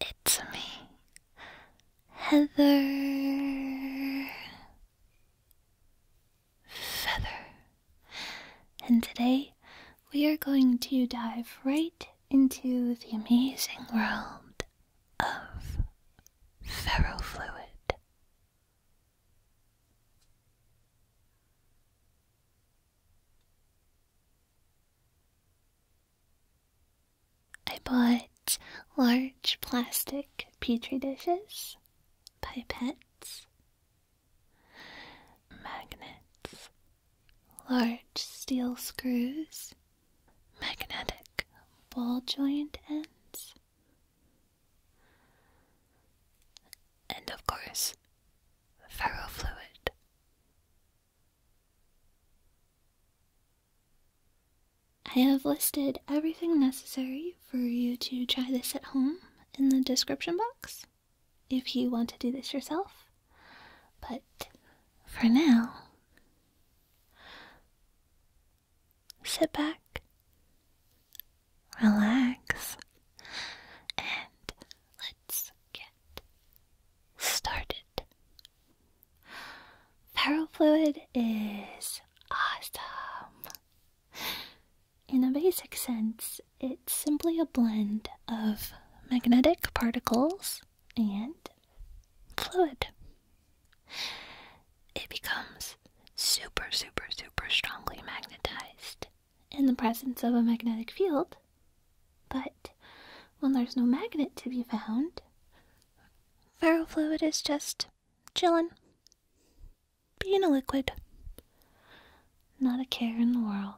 It's me, Heather Feather. And today we are going to dive right into the amazing world of ferrofluid. I bought large plastic petri dishes, pipettes, magnets, large steel screws, magnetic ball joint ends, and of course, ferrofluid. I have listed everything necessary for you to try this at home in the description box if you want to do this yourself. But for now, sit back, relax, and let's get started. Ferrofluid is awesome. In a basic sense, it's simply a blend of magnetic particles and fluid. It becomes super, super, super strongly magnetized in the presence of a magnetic field but when there's no magnet to be found, ferrofluid is just chillin', being a liquid. Not a care in the world.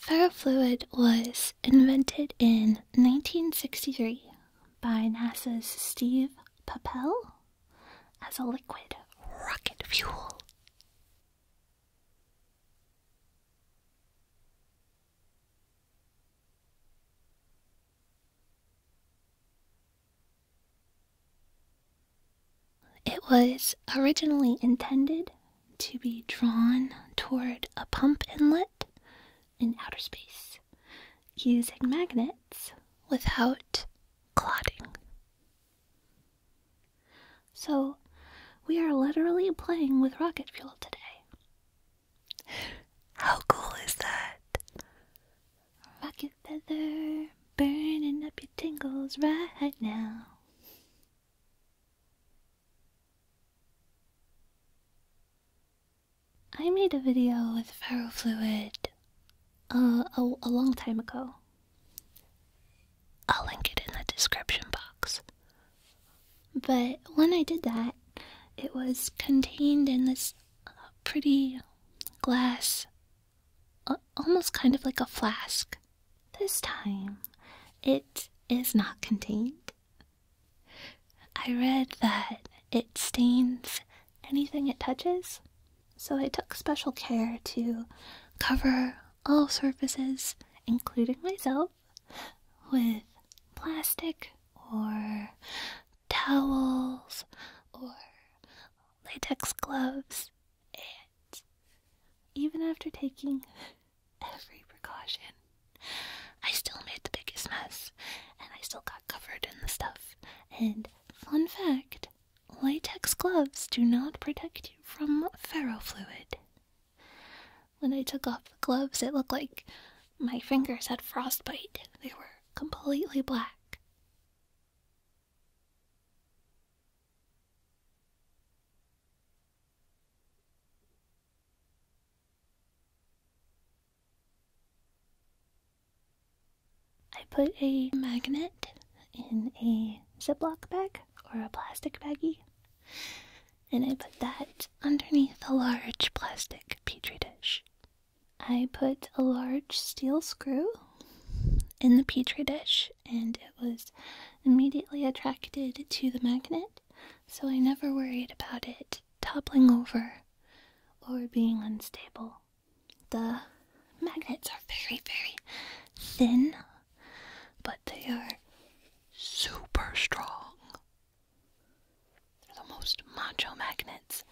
Ferrofluid was invented in 1963 by NASA's Steve Papel as a liquid rocket fuel. It was originally intended to be drawn toward a pump inlet in outer space using magnets without clotting. So, we are literally playing with rocket fuel today. How cool is that? Rocket feather burning up your tingles right now. I made a video with ferrofluid uh, a, a long time ago. I'll link it in the description box. But when I did that, it was contained in this uh, pretty glass, uh, almost kind of like a flask. This time, it is not contained. I read that it stains anything it touches, so I took special care to cover all surfaces, including myself, with plastic or towels or latex gloves, and even after taking every precaution, I still made the biggest mess, and I still got covered in the stuff, and Fun fact latex gloves do not protect you from ferrofluid. When I took off the gloves, it looked like my fingers had frostbite. They were completely black. I put a magnet in a Ziploc bag or a plastic baggie, and I put that underneath a large plastic petri dish. I put a large steel screw in the petri dish, and it was immediately attracted to the magnet, so I never worried about it toppling over or being unstable. The magnets are very, very thin, but they are super strong. They're the most macho magnets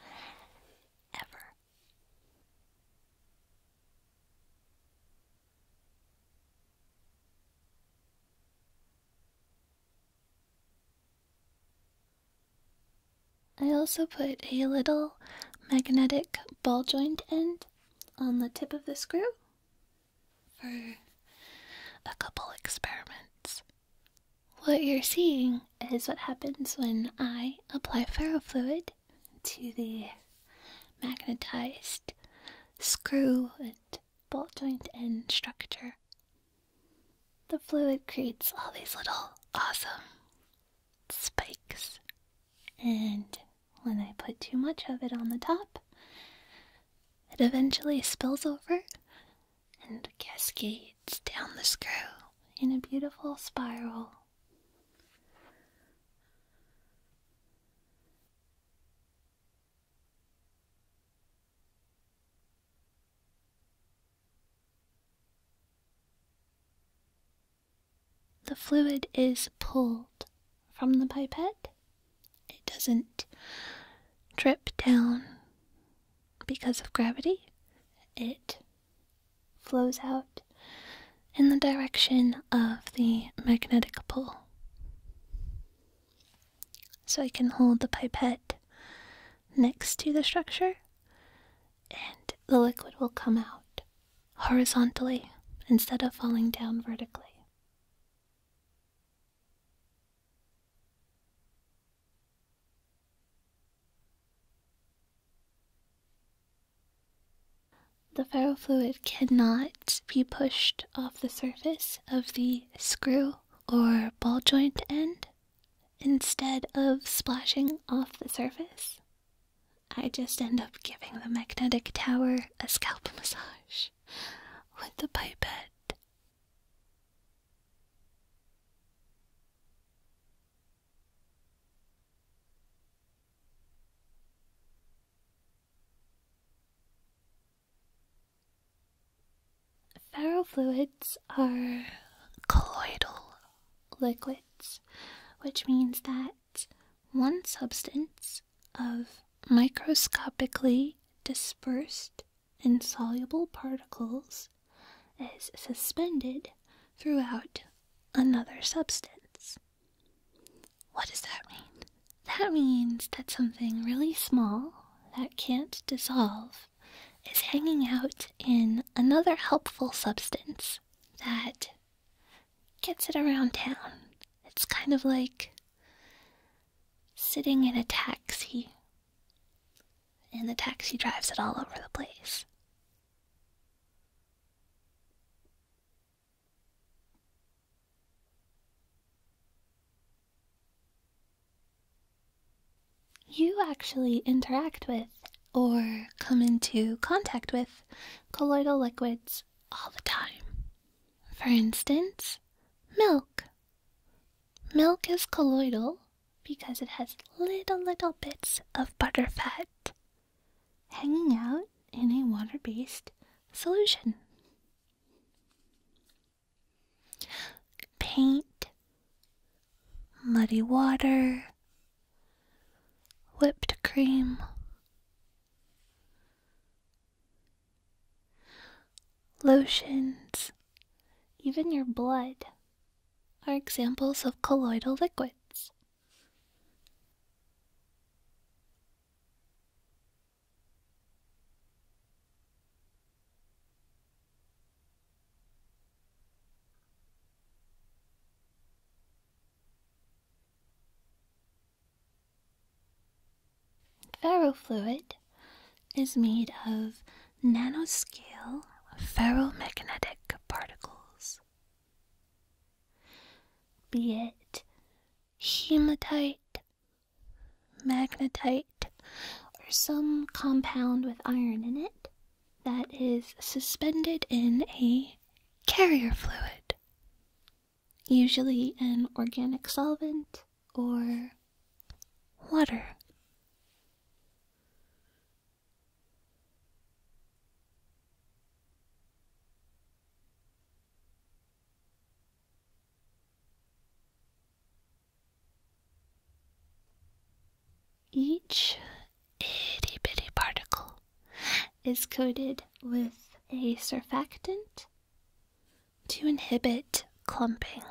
ever. I also put a little magnetic ball joint end on the tip of the screw for a couple experiments. What you're seeing is what happens when I apply ferrofluid to the magnetized screw and ball joint end structure. The fluid creates all these little awesome spikes. And when I put too much of it on the top, it eventually spills over and cascades down the screw in a beautiful spiral. The fluid is pulled from the pipette. It doesn't drip down because of gravity. It flows out in the direction of the magnetic pole. So I can hold the pipette next to the structure and the liquid will come out horizontally instead of falling down vertically. The ferrofluid cannot be pushed off the surface of the screw or ball joint end Instead of splashing off the surface, I just end up giving the magnetic tower a scalp massage with the pipette. Ferrofluids are colloidal liquids, which means that one substance of microscopically dispersed insoluble particles is suspended throughout another substance. What does that mean? That means that something really small that can't dissolve is hanging out in another helpful substance that gets it around town. It's kind of like sitting in a taxi, and the taxi drives it all over the place. You actually interact with or come into contact with colloidal liquids all the time. For instance, milk. Milk is colloidal because it has little, little bits of butterfat hanging out in a water based solution. Paint muddy water, whipped cream. Lotions, even your blood, are examples of colloidal liquids. Ferrofluid is made of nanoscale ferromagnetic particles, be it hematite, magnetite, or some compound with iron in it that is suspended in a carrier fluid, usually an organic solvent or water. Each itty bitty particle is coated with a surfactant to inhibit clumping.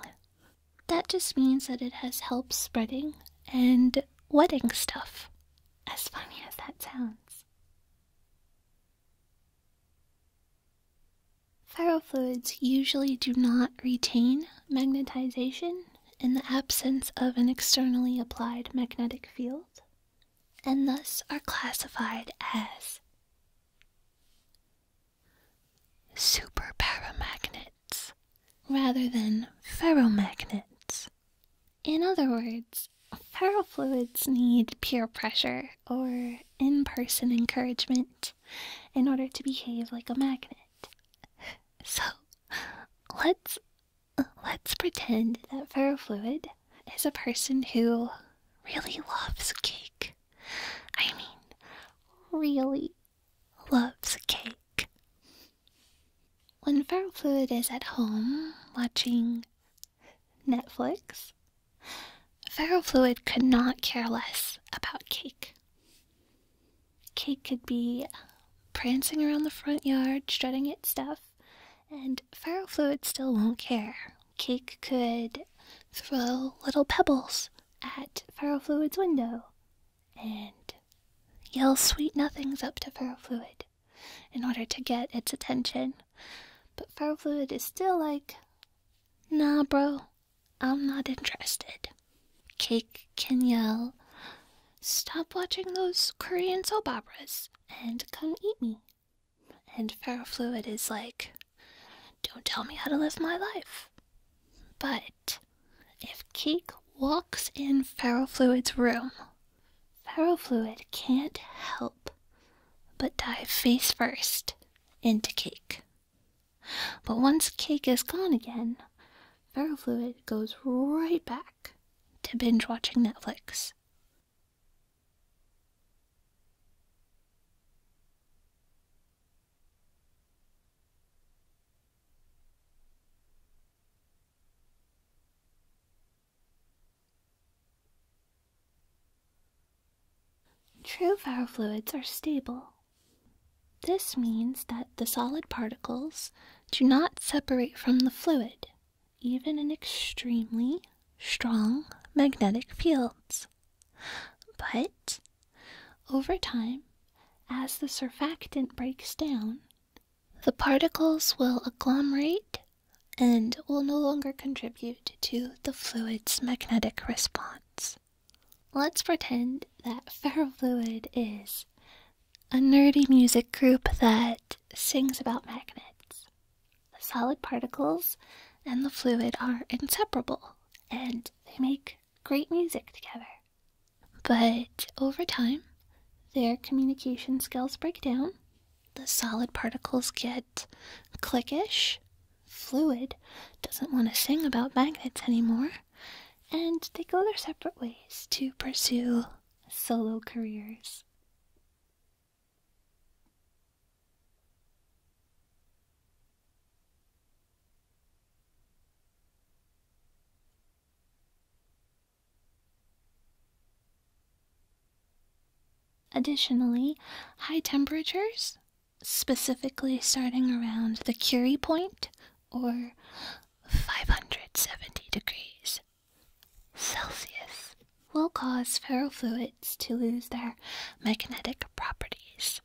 That just means that it has help spreading and wetting stuff. As funny as that sounds. Ferrofluids usually do not retain magnetization in the absence of an externally applied magnetic field, and thus are classified as superparamagnets rather than ferromagnets. In other words, ferrofluids need peer pressure or in person encouragement in order to behave like a magnet. So let's let's pretend that ferrofluid is a person who really loves cake. I mean, really loves cake. When ferrofluid is at home watching Netflix, ferrofluid could not care less about cake. Cake could be prancing around the front yard, strutting its stuff, and Ferrofluid still won't care. Cake could throw little pebbles at Ferrofluid's window and yell sweet nothings up to Ferrofluid in order to get its attention. But Ferrofluid is still like, nah, bro, I'm not interested. Cake can yell, Stop watching those Korean soap operas and come eat me. And Ferrofluid is like, Don't tell me how to live my life. But if Cake walks in Ferrofluid's room, Ferrofluid can't help but dive face first into Cake. But once cake is gone again, ferrofluid goes right back to binge watching Netflix. True ferrofluids are stable this means that the solid particles do not separate from the fluid, even in extremely strong magnetic fields. But over time, as the surfactant breaks down, the particles will agglomerate and will no longer contribute to the fluid's magnetic response. Let's pretend that ferrofluid is a nerdy music group that sings about magnets. The solid particles and the fluid are inseparable, and they make great music together. But over time, their communication skills break down. The solid particles get cliquish. Fluid doesn't want to sing about magnets anymore and they go their separate ways to pursue solo careers. Additionally, high temperatures, specifically starting around the Curie point or 570 degrees Celsius will cause ferrofluids to lose their magnetic properties.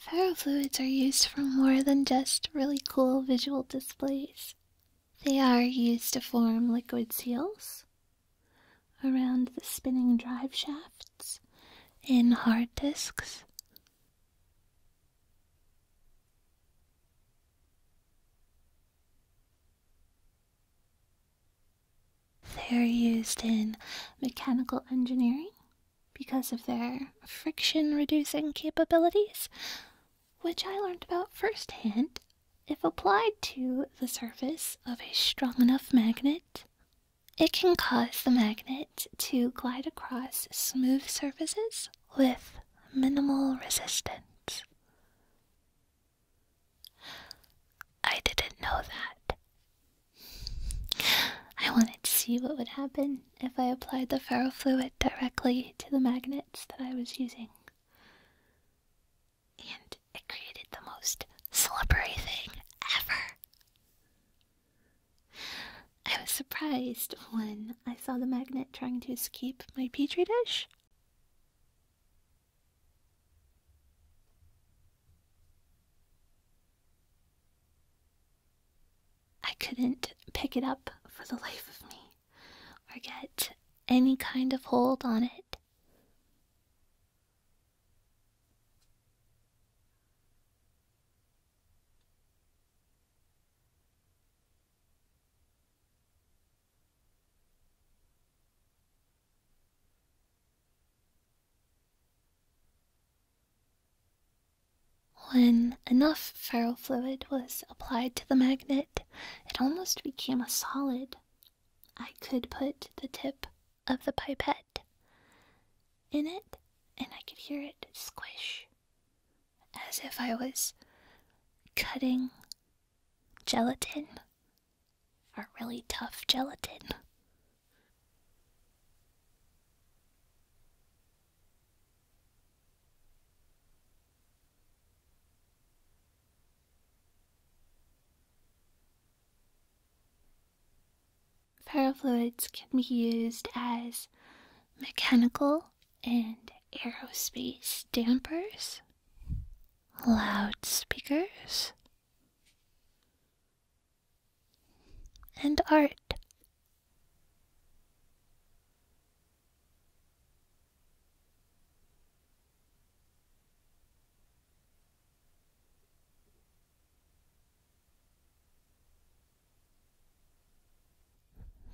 Ferrofluids are used for more than just really cool visual displays. They are used to form liquid seals around the spinning drive shafts in hard disks. They are used in mechanical engineering because of their friction reducing capabilities, which I learned about firsthand, if applied to the surface of a strong enough magnet, it can cause the magnet to glide across smooth surfaces with minimal resistance. I didn't know that. I wanted to see what would happen if I applied the ferrofluid directly to the magnets that I was using and it created the most slippery thing ever. I was surprised when I saw the magnet trying to escape my petri dish. I couldn't pick it up for the life of me or get any kind of hold on it. When enough ferrofluid was applied to the magnet, it almost became a solid. I could put the tip of the pipette in it, and I could hear it squish as if I was cutting gelatin a really tough gelatin. Ferrofluids can be used as mechanical and aerospace dampers, loudspeakers, and art.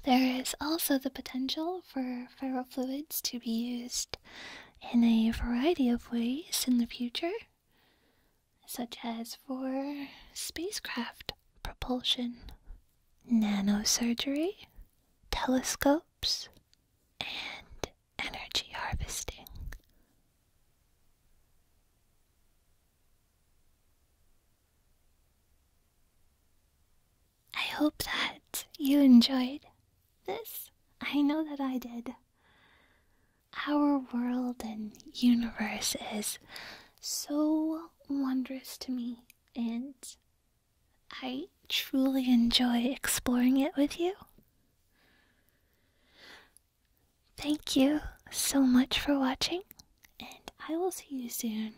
There is also the potential for ferrofluids to be used in a variety of ways in the future, such as for spacecraft propulsion, nanosurgery, telescopes, and energy harvesting. I hope that you enjoyed this. I know that I did. Our world and universe is so wondrous to me, and I truly enjoy exploring it with you. Thank you so much for watching, and I will see you soon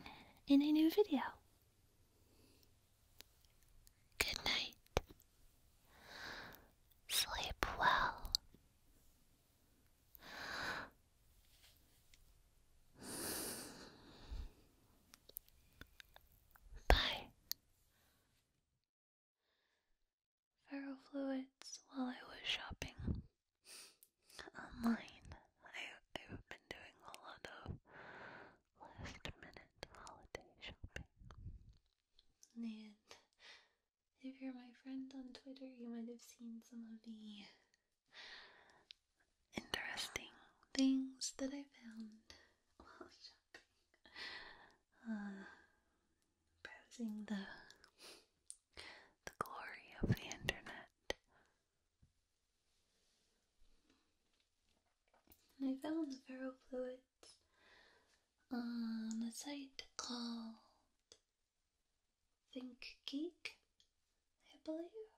in a new video. Good night. Sleep well. Bye. Ferro while I was shopping online. I, I've been doing a lot of last minute holiday shopping. And if you're my friend on Twitter, you might have seen some of the interesting things that I found while shopping. Uh, browsing the the glory of the internet. I found the ferrofluids on a site called Think Geek, I believe.